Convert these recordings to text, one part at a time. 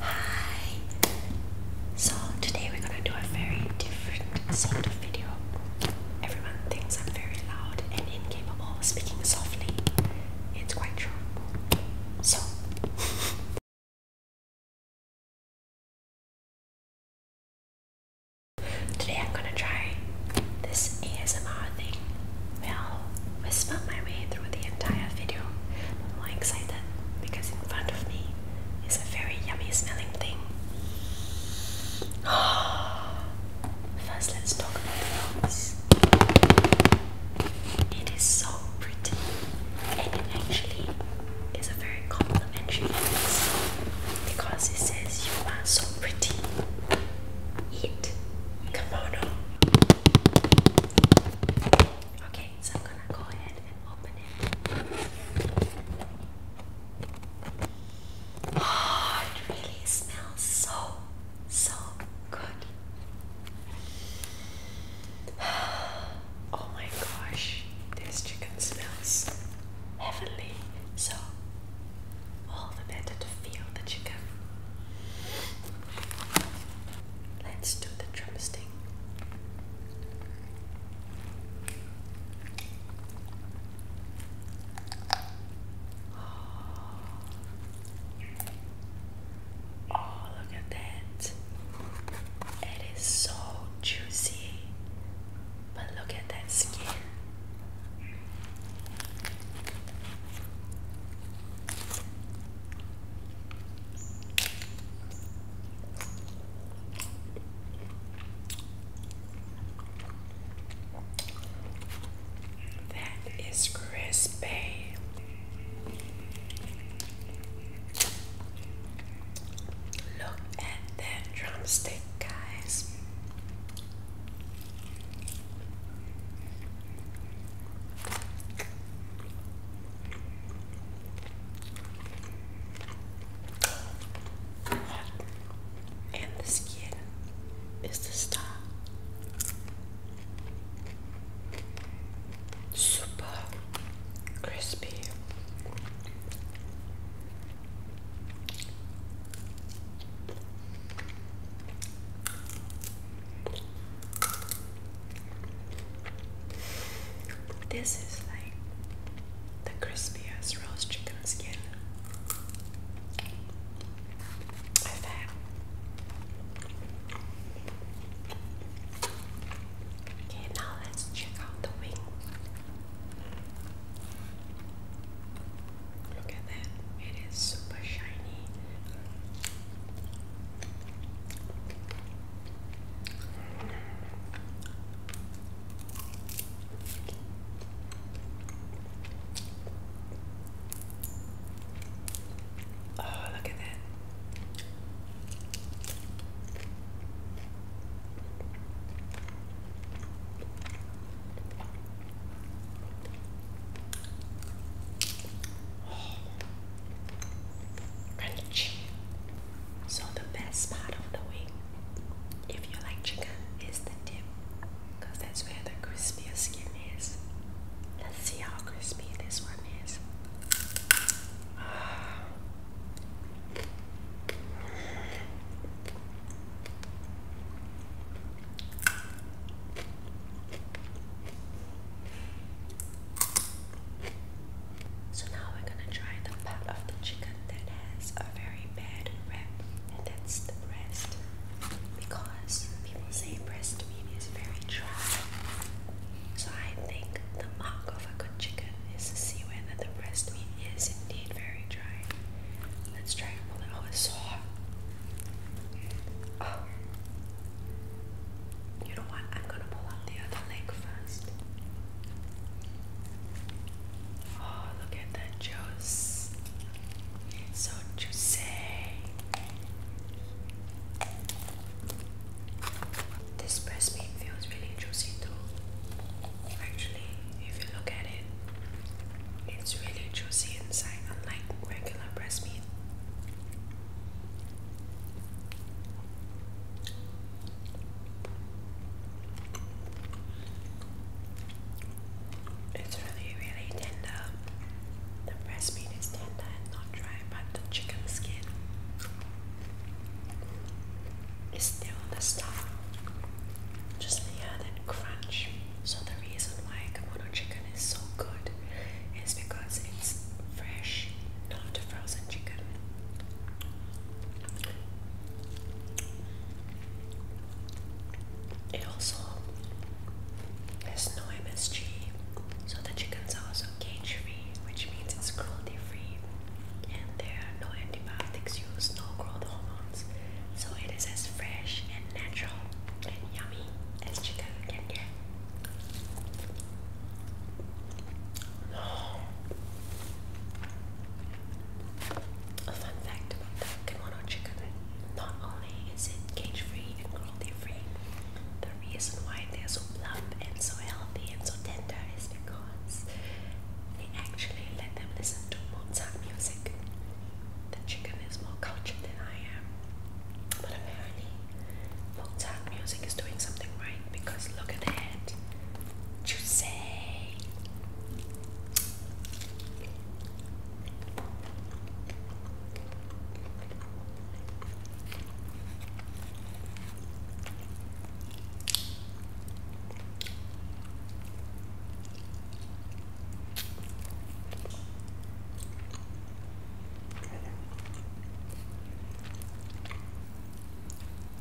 Hi! So today we're gonna do a very different sort of video. Everyone thinks I'm very loud and incapable of speaking softly. It's quite true. So Today I'm gonna try this ASMR thing where I'll whisper my way through the entire video. I'm more excited because in front of me is a very yummy smelling thing. First, let's talk about the It is so pretty and it actually is a very complimentary because it says you are pretty. Heat kimono. Okay, so I'm gonna go ahead and open it. Oh, it really smells so, so good. Oh my gosh, this chicken smells heavenly. So all the better to feel the chicken. Let's do the drumstick. oh, look at that. It is so juicy. But look at that skin. That is crispy. Look at that drumstick, guys. And the skin is the star super crispy. This is like the crispiest roast chicken skin I've had. Okay, now let's check out the wing. Look at that, it is super shiny. Oh, look at that. So the best part of the wing, if you like chicken, is the dip, because that's where the crispiest skin Let's see how crispy this one is. So now we're gonna try the part of the chicken that has a very bad wrap, and that's the breast because people say breast meat is very dry. So I think the mark of a good chicken is to see whether the breast meat is indeed very dry. Let's try and pull it. Oh, You know what? I'm gonna pull out the other leg first. Oh, look at that juice. So juicy. This breast meat feels really juicy too. Actually, if you look at it, it's really juicy inside, unlike regular breast meat. It's really, really tender. The breast meat is tender and not dry, but the chicken skin is still the stuff. Just hear that crunch. So the reason why Kimono chicken is so good is because it's fresh, not frozen chicken. It also has no MSG, so the chickens are also cage free, which means it's cruelty free, and there are no antibiotics used, no growth hormones, so it is as fresh and natural and yummy as chicken can get. A fun fact about the kimono chicken not only is it cage free and cruelty free, the reason why they're so plump and so healthy and so tender is because they actually let them listen to Mozart music. The chicken is more cultured than I am, but apparently Mozart music is doing something right because look at that. Juicy!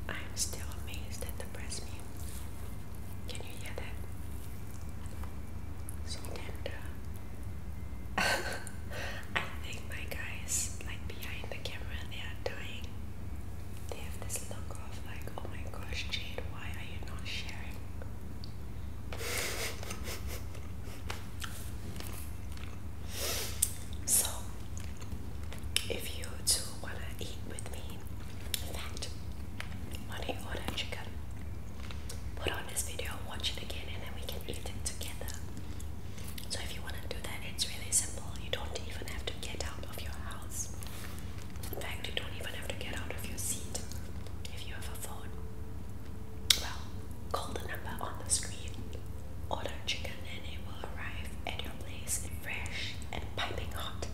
I'm still amazed at the breast meat. Can you hear that? So tender. I think my guys, like behind the camera, they are dying. They have this look of like, oh my gosh, Jade, why are you not sharing? so, if you too wanna eat with me. In fact, when he order chicken, put on this video, watch it again, and then we can eat it together. So if you wanna do that, it's really simple. You don't even have to get out of your house. In fact, you don't even have to get out of your seat if you have a phone. Well, call the number on the screen order chicken and it will arrive at your place fresh and piping hot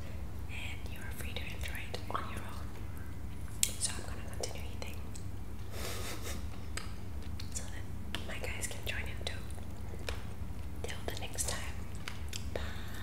and you are free to enjoy it on your own. So I'm gonna continue eating so that my guys can join in too. Till the next time. Bye.